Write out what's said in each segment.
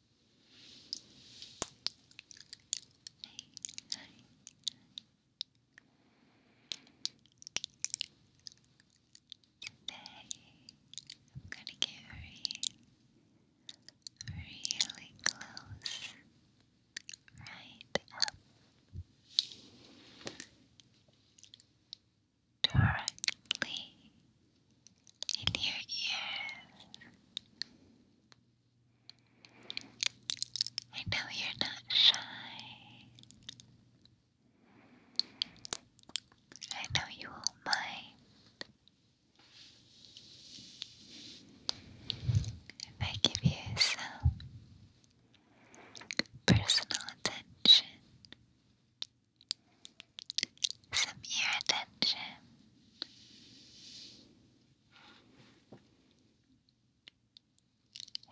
I'm going to get really, really close, right up directly in your ears. I know you're not shy. I know you won't mind if I give you some personal attention, some ear attention.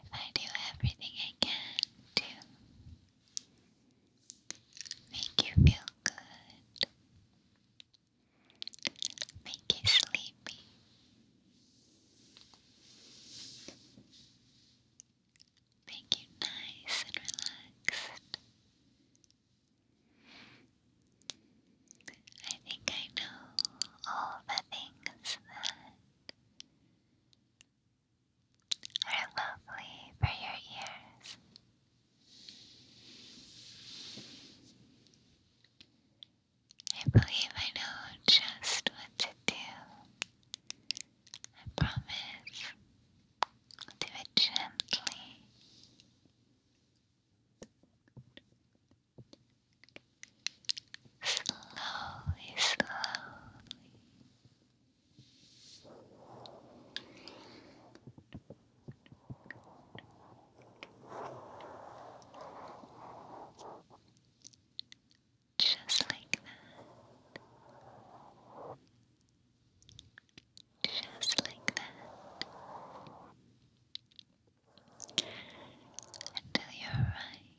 If I do everything I can to make you feel good, make you sleepy, make you nice and relaxed. I think I know all the things that are lovely for your ears. I believe I know just what to do. I promise I'll do it gently. Slowly, slowly. Just like that. Just like that. Until you're right.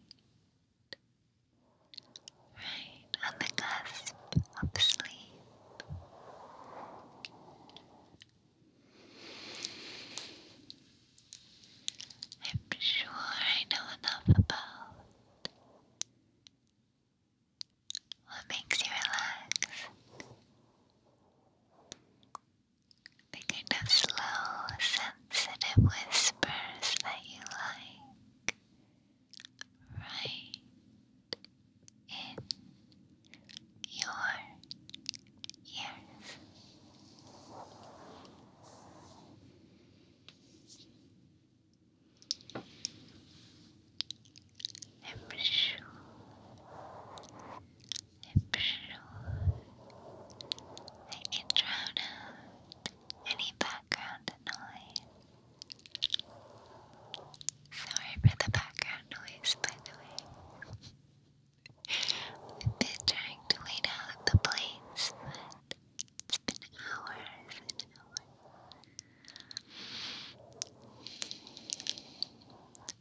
Right on the cusp of sleep. I'm sure I know enough about what makes you relax? The kind of slow, sensitive whispers that you like. Right in your ears every shoe, every shoe. I can drown out any background noise. Sorry for the background noise, but I've been trying to wait out the plates, but it's been hours and hours.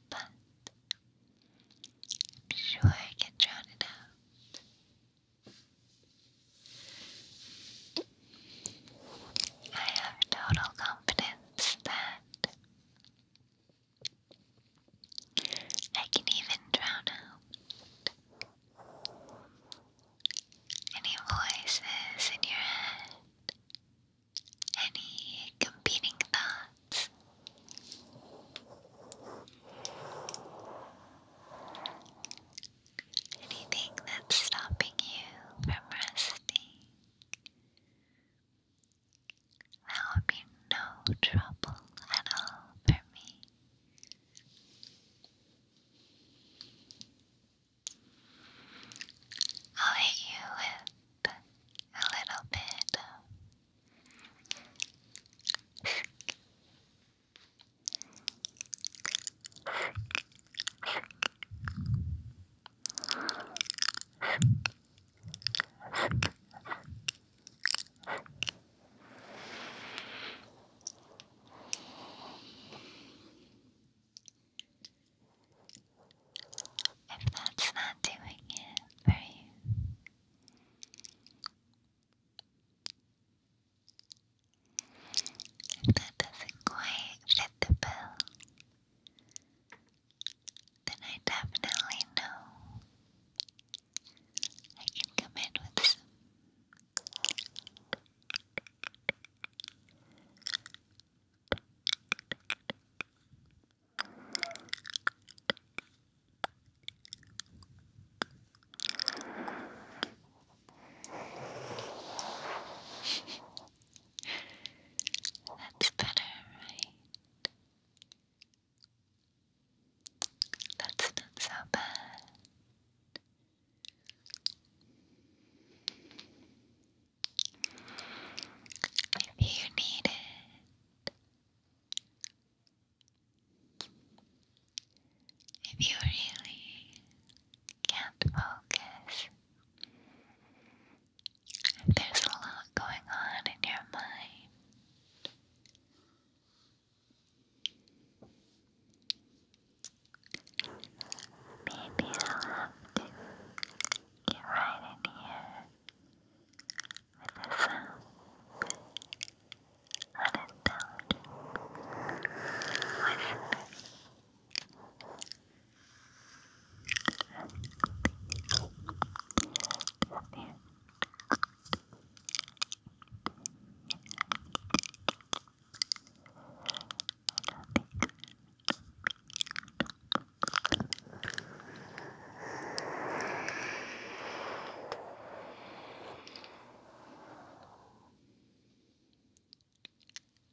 But I'm sure I can drown it out. I have total confidence that I can even drown out any voices in your head. Any competing thoughts? Anything that's stopping you from resting? That be no trouble at all for me. I'll hit you with a little bit if that's not doing it for you, if that doesn't quite fit the bill, then I definitely know I can come in with some. That's better, right? That's not so bad if you need it. If you really can't focus, there's a lot going on in your mind. Maybe I'll have to get right in here with the sound of intelligent whispering.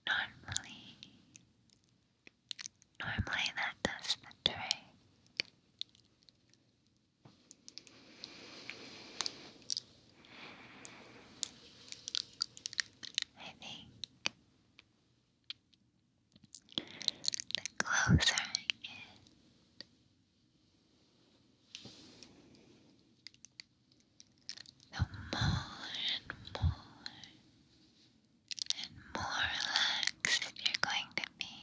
Normally, normally that does the trick. I think the closer I get, the more and more and more relaxed you're going to be.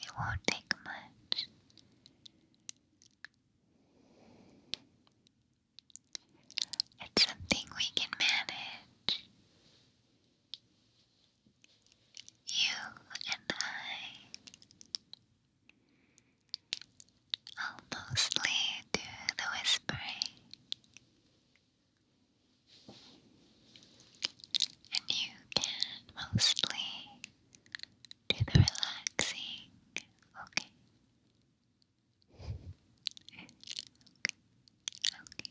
It won't take much it's something we can manage. You and I. I'll mostly do the whispering. And you can mostly do the relaxing, okay? okay, okay.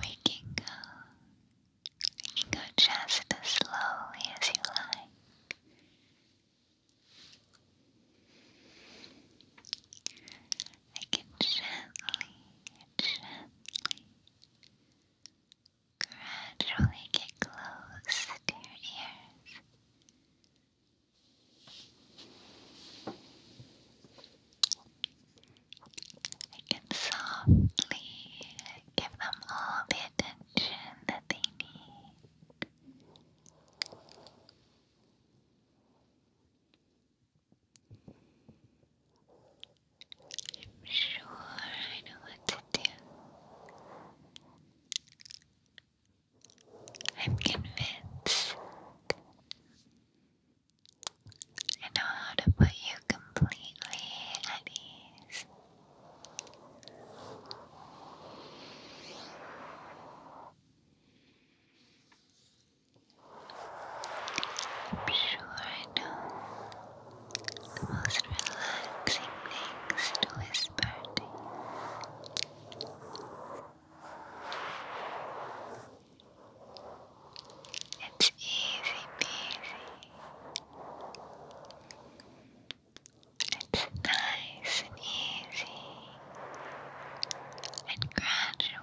We can go. We just as slowly as you like. I can gently, gently, gradually get close to your ears. I can softly give them all the attention that they need. I'm sure I know what to do. I'm convinced. I know how to put you completely at ease. I'm sure I know the most relaxing things to It's easy peasy. It's nice and easy and gradual.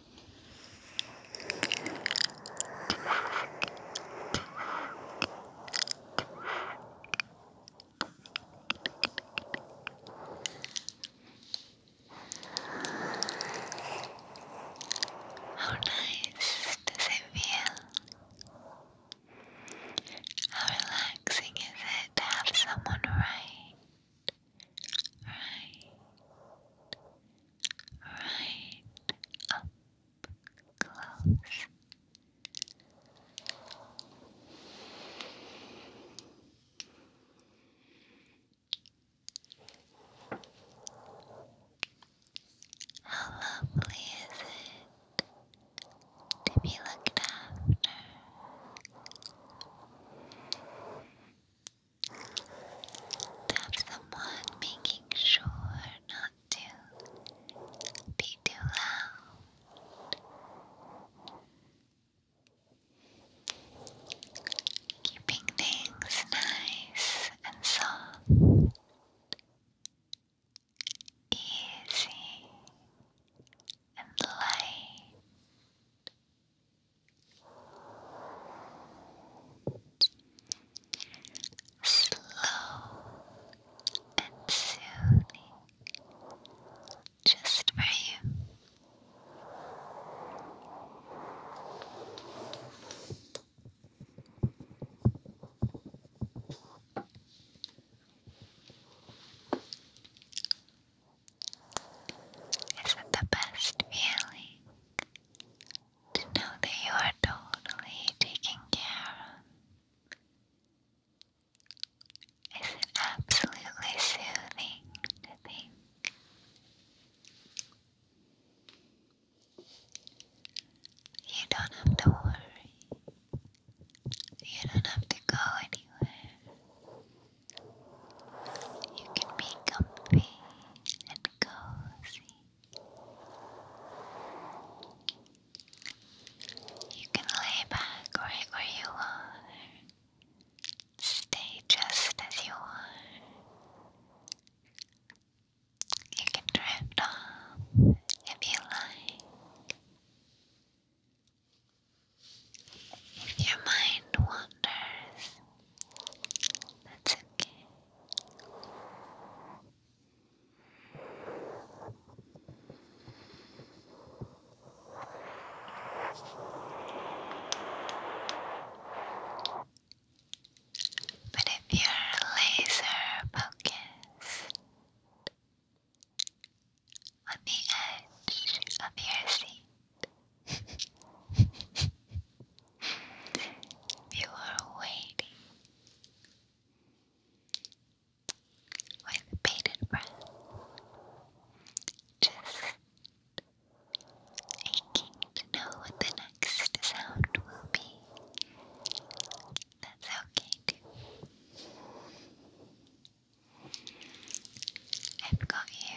How nice does it feel? How relaxing is it to have someone right? Right? right up close. How lovely is it to be looked after? Tap someone making sure not to be too loud. Keeping things nice and soft. Easy and light. Slow and soothing, just for you. Is it the best feeling? to know that you are totally taken care of. Is it absolutely soothing to you don't have to worry? You don't have to go anywhere. You can be comfy and cozy. You can lay back right where you are. Stay just as you are. You can drift off if you like. If your mind wanders, that's okay. But if you laser focused on the edge of your seat, you are waiting with bated breath, just aching to know what the next sound will be. That's okay I've got you.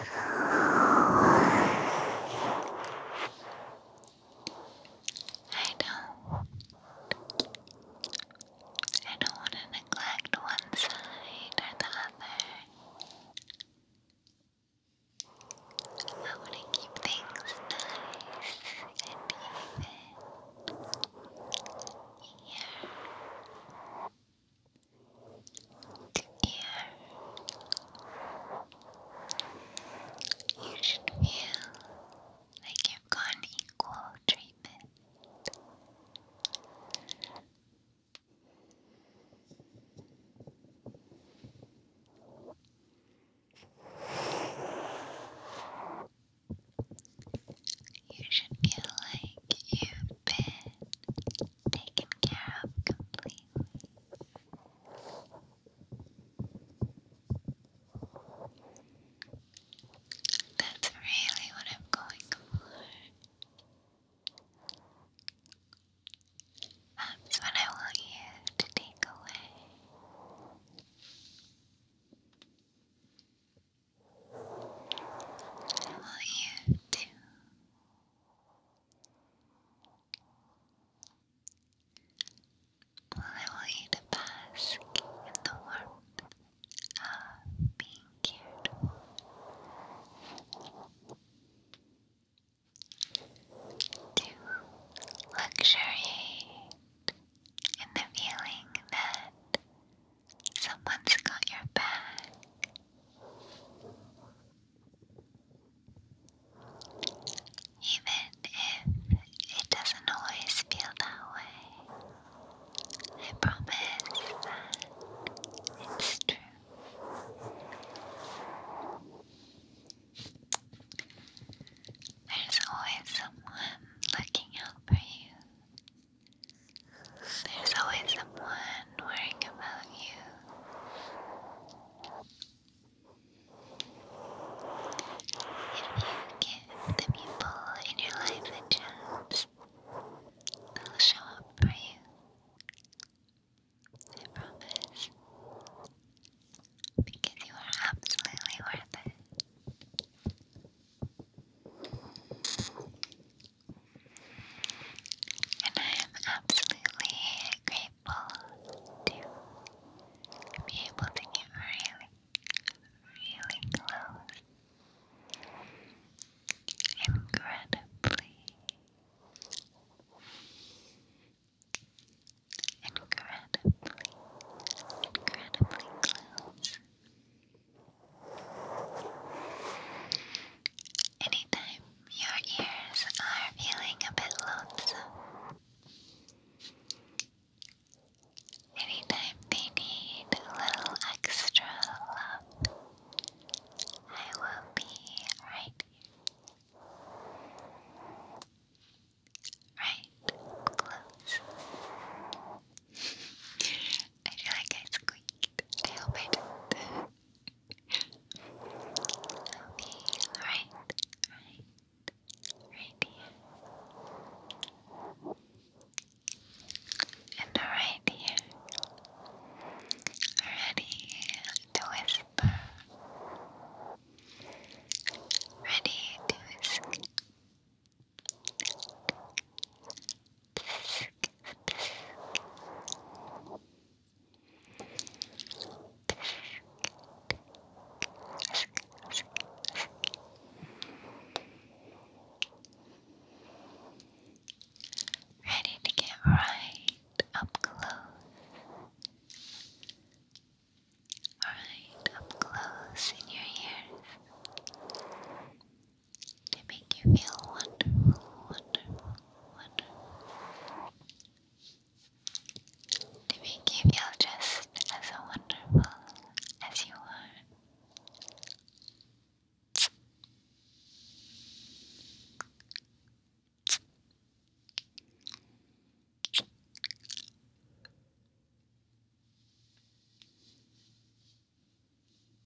I don't. I don't want to neglect one side or the other. I want to keep things nice and even here. Here, you should feel like you've gotten equal treatment. You should feel like you've been taken care of completely. That's really what I'm going for. That's um, what I want you to take away. I you to I want you to bask in the warmth of being cared To luxuriate in the feeling that someone's got your back, even if it doesn't always feel that way, I promise that it's true. There's always someone looking out for you. There's always someone worrying about you. If you give the people in your life a chance, they'll show up for you. I promise. Because you are absolutely worth it. And I am absolutely grateful to be able to get really, really close. Incredibly, incredibly, incredibly close. Anytime your ears are feeling a bit lonesome, anytime they need a little extra love, I will be right here. Right close. I feel like I squeaked. I hope I didn't right, right, right here. And right here. Ready to whisper. Ready to escape. Ready to get right up close. Alright, up close in your ears to make you feel wonderful, wonderful, wonderful. To make you feel just as wonderful as you are.